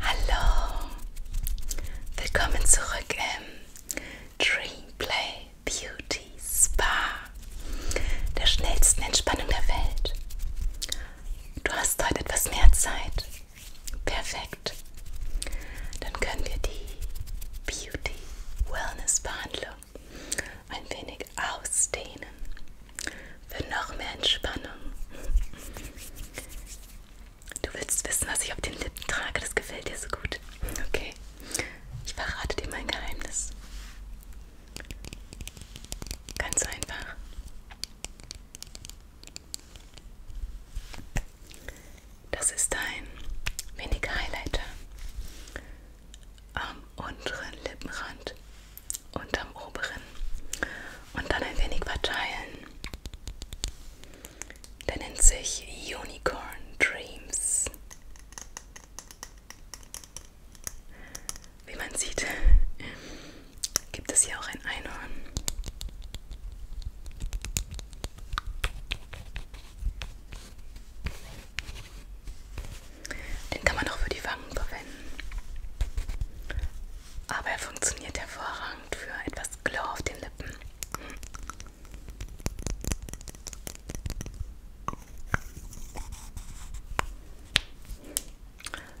Hallo, willkommen zurück im Dreamplay Beauty Spa, der schnellsten Entspannung der Welt. Du hast heute etwas mehr Zeit. Perfekt. Dann können wir die Beauty Wellness Behandlung ein wenig ausdehnen. Für noch mehr Entspannung. Du willst wissen, was ich auf den Lippen trage? Das gefällt dir so gut. Okay. Ich verrate dir mein Geheimnis. Ganz einfach. Das ist ein Mini Highlighter am unteren Lippenrand unterm oberen und dann ein wenig verteilen. Der nennt sich Unicorn Dreams. Wie man sieht, gibt es hier auch ein Einhorn. Den kann man auch für die Wangen verwenden aber er funktioniert hervorragend für etwas Glow auf den Lippen.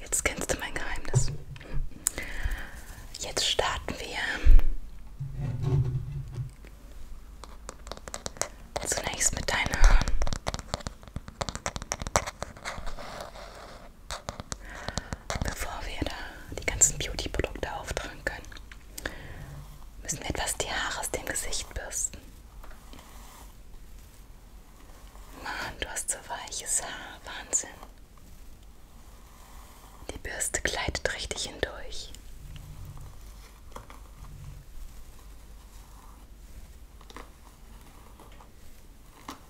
Jetzt kennst du mein Geheimnis. Jetzt starten wir zunächst mit deinen Haaren. Bevor wir da die ganzen Beauty-Produkte auftragen können, müssen wir etwas die Haare aus dem Gesicht bürsten. Mann, du hast so weiches Haar. Wahnsinn. Die Bürste gleitet richtig hindurch.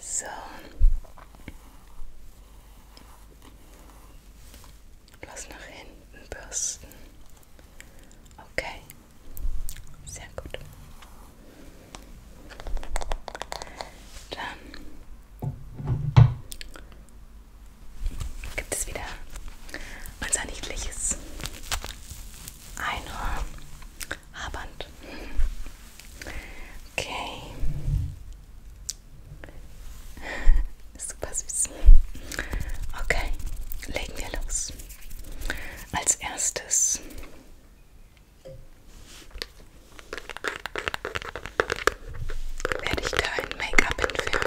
So. Bloß nach hinten bürsten. Okay. Sehr gut. Dann gibt es wieder unser niedliches eine Haarband. Okay. Super süß. Okay, legen wir los. Als erstes werde ich dein Make-up entfernen.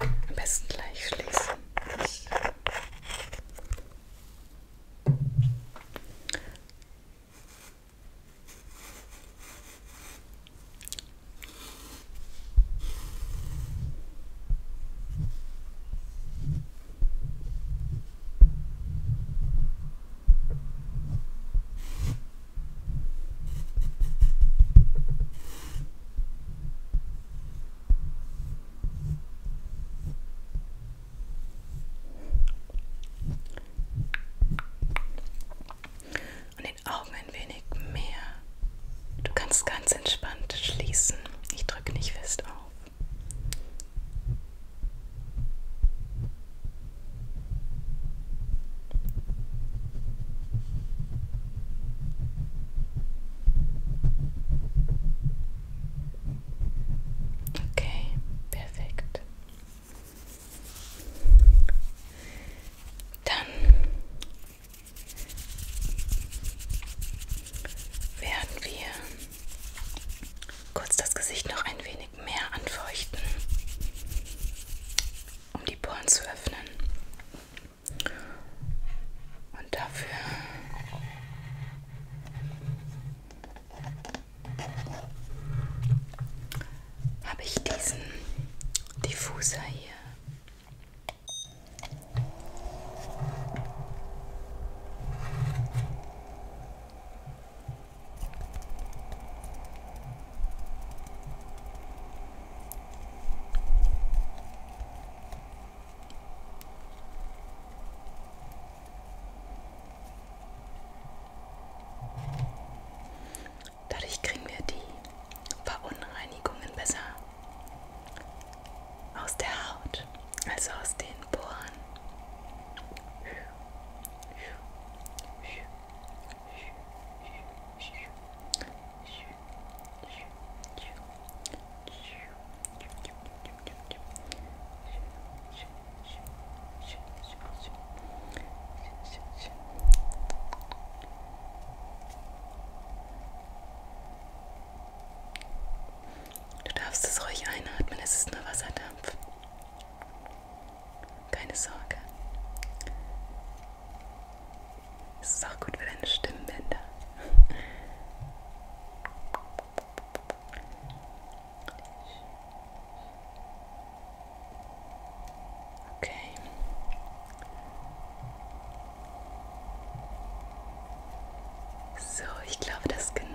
Am besten gleich schließen. Und den Augen ein wenig mehr. Du kannst ganz entspannt schließen. Ich drücke nicht fest auf. Okay, perfekt. Dann werden wir kurz das Gesicht noch ein wenig mehr anfeuchten, um die Poren zu öffnen. Und dafür habe ich diesen Diffuser hier. Dadurch kriegen wir die Verunreinigungen besser aus der Haut, also aus den Poren. Du darfst es ruhig einatmen, es ist nur Wasserdampf. Keine Sorge. Es ist auch gut für deine Stimmbänder. Okay. So, ich glaube, das ist genug.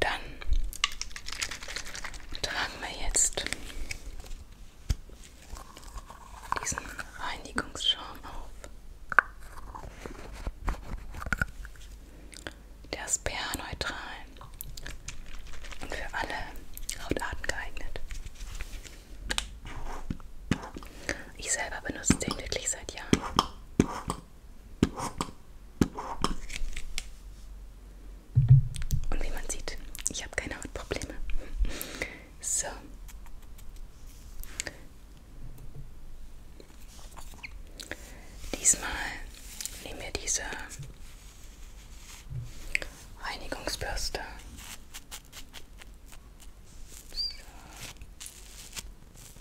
Dann tragen wir jetzt diesen Reinigungsschaum auf. Der ist pH-neutral und für alle Hautarten geeignet. Ich selber benutze den wirklich seit Jahren. Und wie man sieht, ich habe keine Hautprobleme. So. Diesmal nehmen wir diese Reinigungsbürste. So.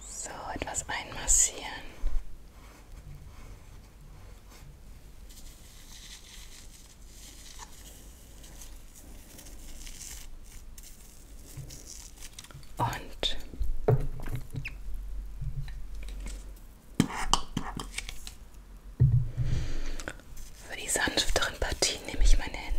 So, etwas einmassieren. Und für die sanfteren Partien nehme ich meine Hände.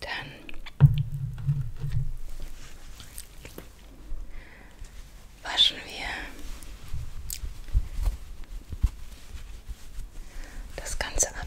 Dann waschen wir das Ganze ab.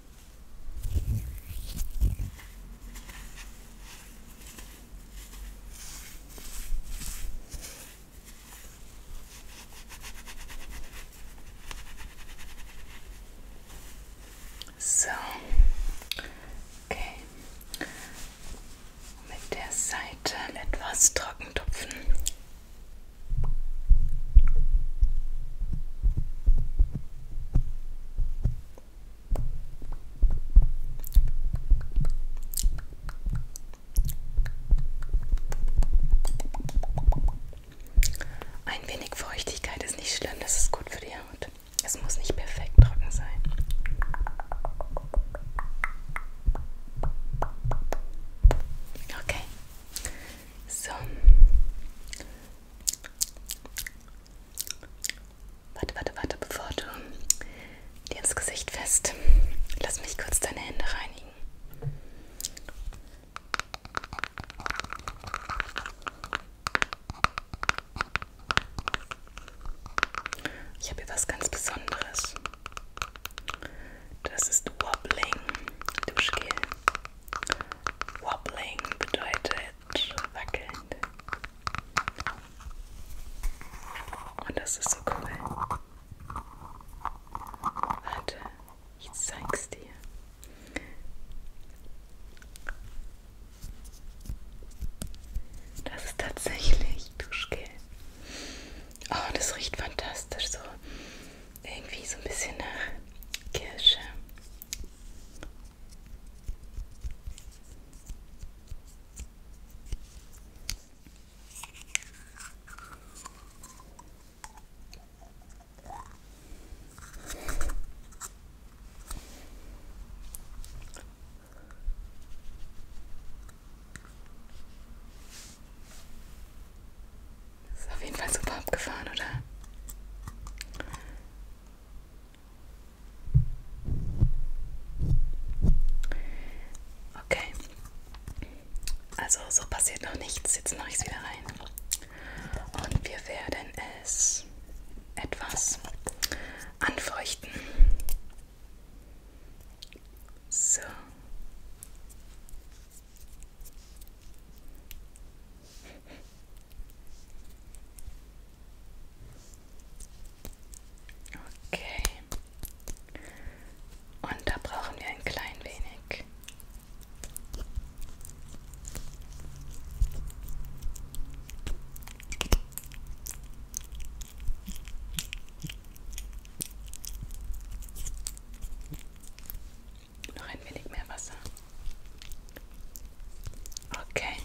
So, okay. Mit der Seite etwas trocken tupfen. Ein wenig Feuchtigkeit ist nicht schlimm, das ist gut für die Haut. Es muss nicht perfekt trocken sein. Okay. So. Warte, warte, warte, bevor du dir ins Gesicht fest. Lass mich kurz deine Hände reinigen. Ich habe hier was ganz Besonderes. Das ist Wobbling Duschgel. Wobbling bedeutet mit Wackeln. Und das ist so cool. Warte, ich zeig's dir. Das ist tatsächlich Duschgel. Oh, das riecht fantastisch. So irgendwie so ein bisschen nach Kirsche. Das ist auf jeden Fall super abgefahren, oder? Okay. Also so passiert noch nichts. Jetzt mache ich es wieder rein. Und wir werden es etwas anfeuchten. So. Okay. Und da brauchen wir ein klein wenig. Noch ein wenig mehr Wasser. Okay.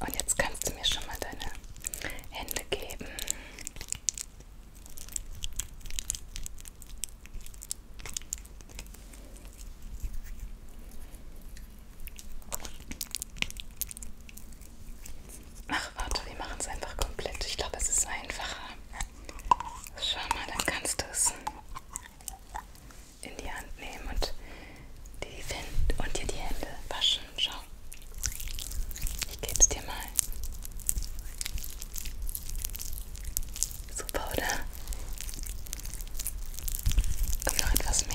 Und jetzt kannst du mir schon mal deine Hände geben. Ach, warte, wir machen es einfach komplett. Ich glaube, es ist einfacher. Schau mal, dann kannst du es in die Hand nehmen und, die Wind und dir die Hände waschen. Schau. Ich gebe es dir mal. Super, oder? Kommt noch etwas mehr.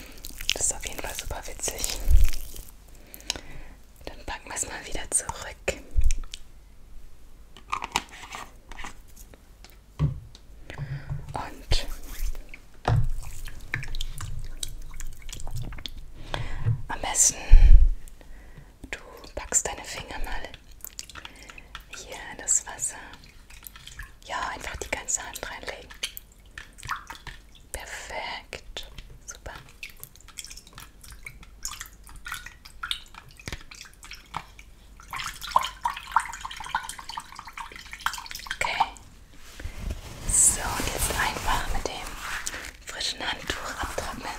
Das ist auf jeden Fall super witzig. Dann packen wir es mal wieder zurück. Und am besten, du packst deine Finger mal hier in das Wasser. Ja, einfach die ganze Hand reinlegen. Perfekt. Super. Okay. So, und jetzt einfach mit dem frischen Handtuch abtrocknen.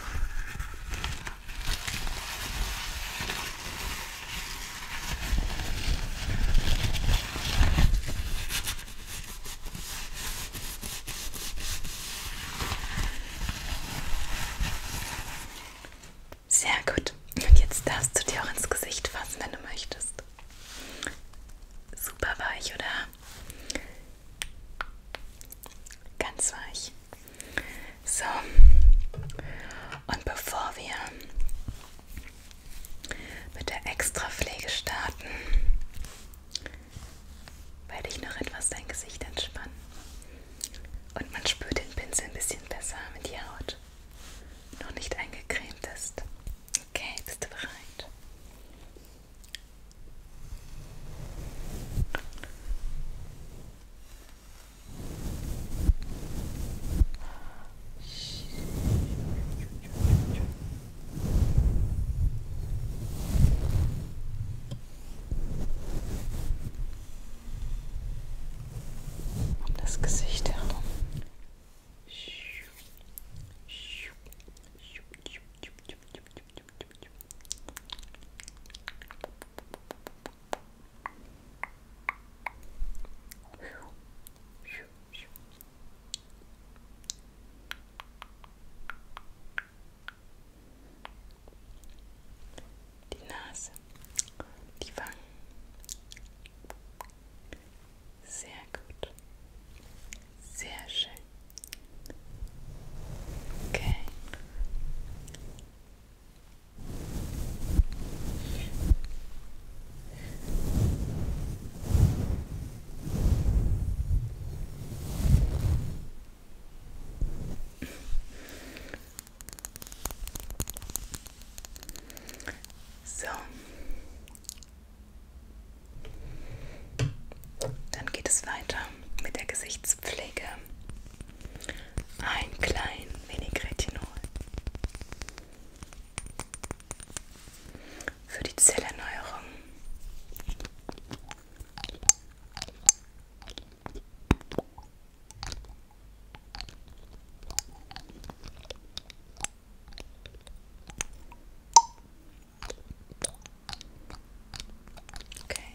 Sehr gut. Und jetzt darfst du dir auch ins Gesicht fassen, wenn du möchtest. Super weich, oder? Ganz weich. So. Und bevor wir mit der Extrapflege starten. Werde ich noch etwas dein Gesicht entspannen. Und man spürt den Pinsel ein bisschen besser, wenn die Haut noch nicht eingecremt ist. Okay, bist du bereit? Um das Gesicht herum. Die Nase, die Wangen. Sehr gut. Sehr schön. Okay. So. Dann geht es weiter mit der Gesichtspflege. Ein klein wenig Retinol für die Zellerneuerung. Okay.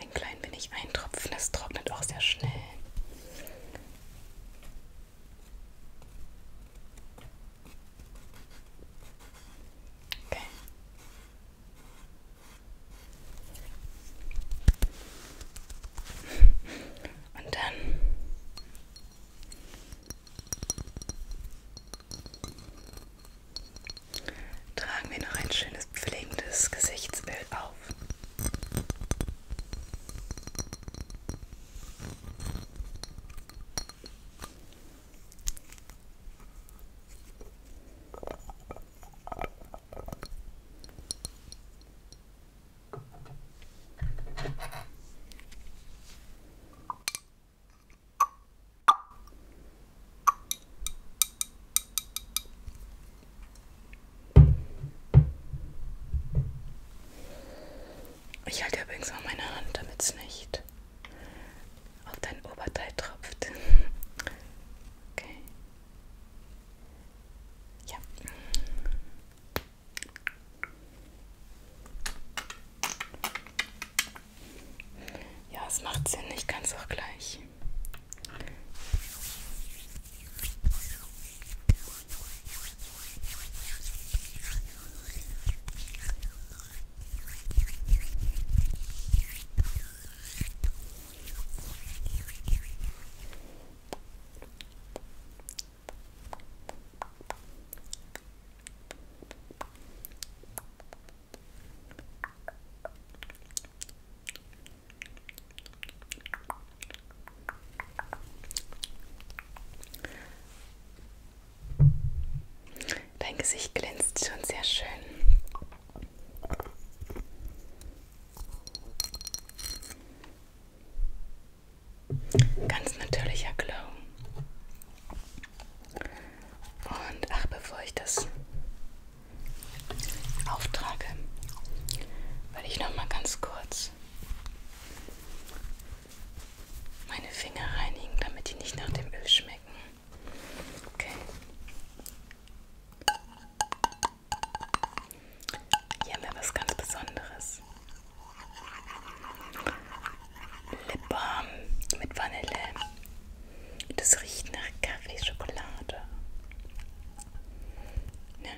Ein klein wenig eintropfen, das trocknet auch sehr schnell. Okay. Und dann tragen wir noch ein schönes pflegendes Gesichtsbild auf. Ich halte übrigens mal meine Hand, damit es nicht auf dein Oberteil tropft. Okay. Ja. Ja, es macht Sinn, ich kann es auch gleich. Dein Gesicht glänzt schon sehr schön. Ganz natürlicher Glow. Und ach, bevor ich das auftrage, weil ich noch mal ganz kurz meine Finger reinigen, damit die nicht nach dem Öl schmecken. Okay. Hier haben wir was ganz Besonderes. Lip Balm mit Vanille. Das riecht nach Kaffeeschokolade. Ne?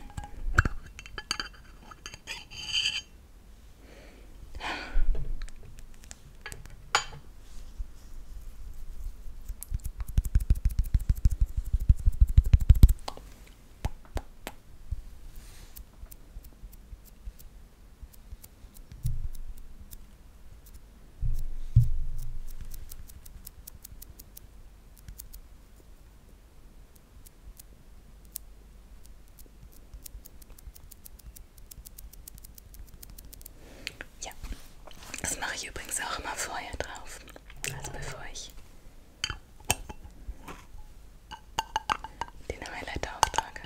Ja, das mache ich übrigens auch immer vorher drauf. Also bevor ich den Highlighter auftrage.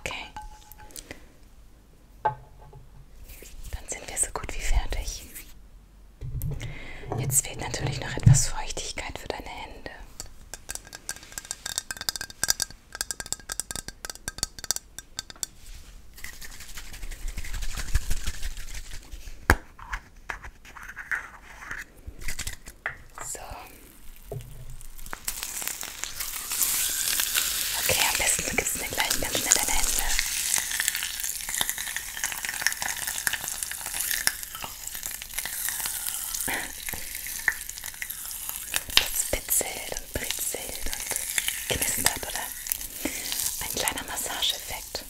Okay. Dann sind wir so gut wie fertig. Jetzt fehlt natürlich noch etwas Feuchtigkeit für deine Hände. So. Okay, am besten du gibst mir gleich ganz schnell deine Hände. Das witzelt und britzelt und knistert, oder? Ein kleiner Massageeffekt.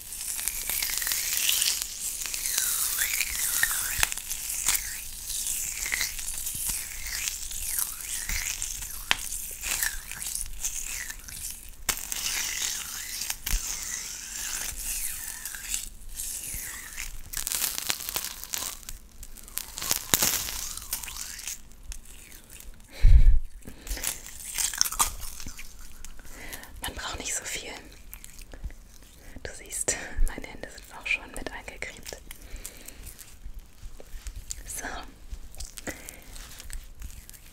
Man braucht nicht so viel. Du siehst, meine Hände sind auch schon mit eingecremt. So.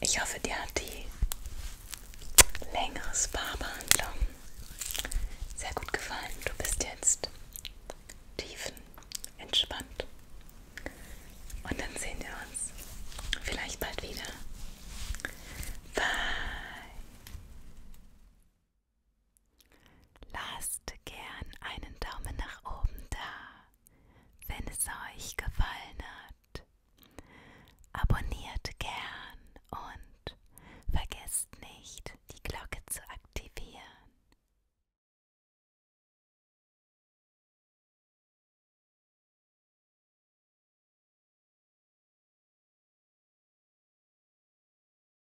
Ich hoffe, dir hat die längere Spa-Behandlung sehr gut gefallen. Du bist jetzt tiefen entspannt. Und dann sehen wir uns vielleicht bald wieder. Bye. Lasst gern einen Daumen nach oben da, wenn es euch gefallen hat. Abonniert gern und vergesst nicht, die Glocke zu aktivieren.